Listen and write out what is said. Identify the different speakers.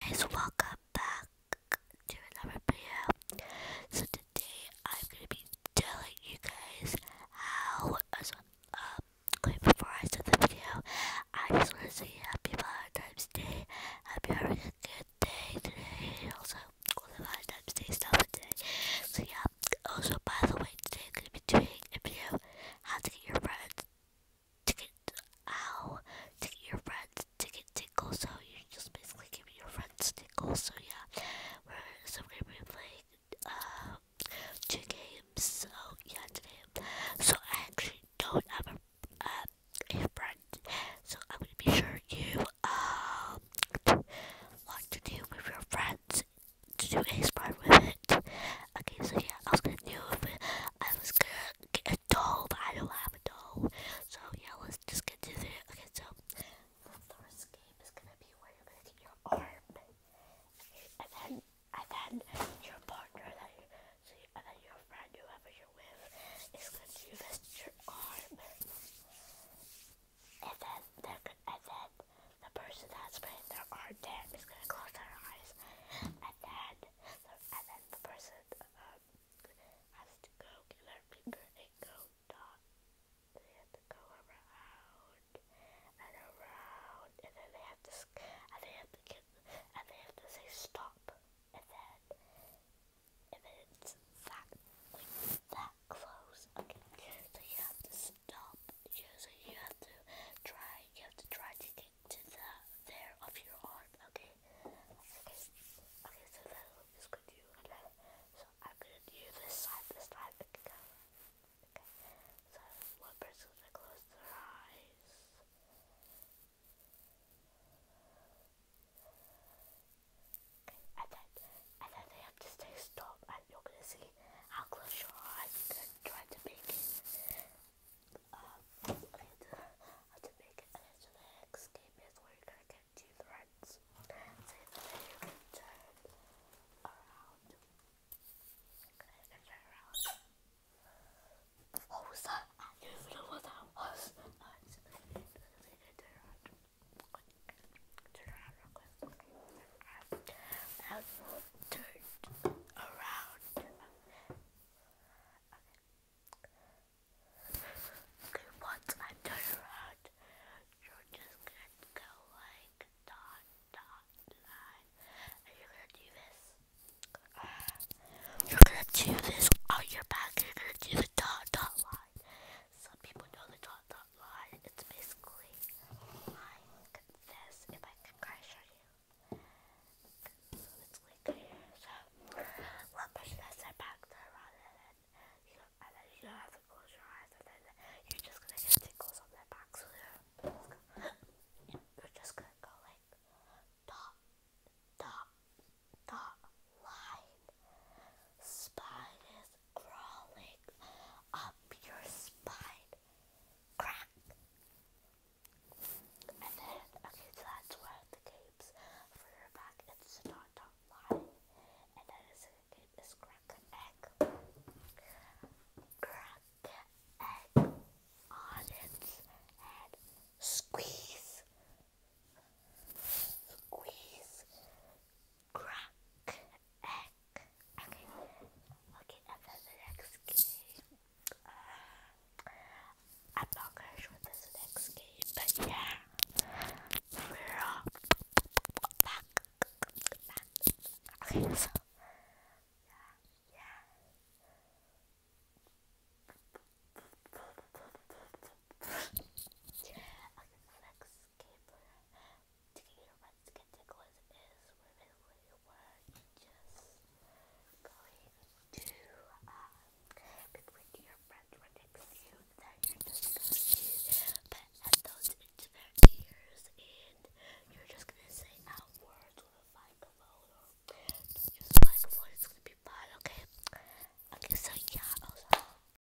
Speaker 1: guys, welcome back to another video. So today I'm gonna be telling you guys how. So, um, wait, before I start the video, I just want to say Happy Valentine's Day. Happy having a good day today. Also, all the Valentine's Day stuff today. So yeah. Also, by the way, today I'm gonna be doing a video how to get your friends ticket ow, ticket your friends, ticket tickle, so you just basically give your friends tickle, so yeah. We're so we're gonna be playing uh, two games, so yeah today. So I actually don't have a friend, so I'm gonna be sure you um what to do with your friends to do a spy with it. Okay, so yeah, I was gonna do it. but I was going a doll, I don't have a doll. So yeah, let's just get to it. Okay, so the first game is gonna be where you're gonna get your arm, and then and then your partner, then and then your friend, whoever you're with, is gonna do your arm, and then they and then the person that's putting their arm down is gonna close their eyes, and then, and then the person um, has to go kill her people and go down. They have to go around and around, and then they have to and they have to get and they have to say stop, and then and then that that close. Okay, so you have to stop. so you have to try. You have to try to. Get to the there of your arm, okay? Okay, okay so that is good to you. So I'm gonna do this side this time. Okay. So one person's gonna close their eyes. Okay, and then and then they have to stay stopped and you're gonna see how close your eyes tried to make it. Um, to, make it, and the next game is where you're gonna get two threads. So you can turn around. turn around. What oh, that? I don't know what that was. No, it's okay. So you can I will turn around. Okay. once I turn around, you're just gonna go like dot dot line, and you're going do this. Uh, you're gonna do this on oh, your back. You're gonna do the dot dot line. Some people know the dot not it's basically like this, if I can kind of you. So it's like so one person has their back there rather than, you know, and then you don't have to close your eyes and then you're just gonna get tickles on their back, so you're just gonna go like, dot, dot, dot, line, spiders, crawling up your spine. Crack! And then, okay, so that's one of the games for your back. It's not not lie. And then the second game is crack an egg. Crack an egg on its head. Squeeze. Squeeze crack egg. Okay, okay, and then the next game. I'm not quite sure this is the next game, but yeah, we're all Teenage Mexican Nicholas is really where you going to, um, between your friends were to you that you're just going to say out words with a microphone or oh, just microphone, it's going to be fun, okay? Okay, so yeah, also,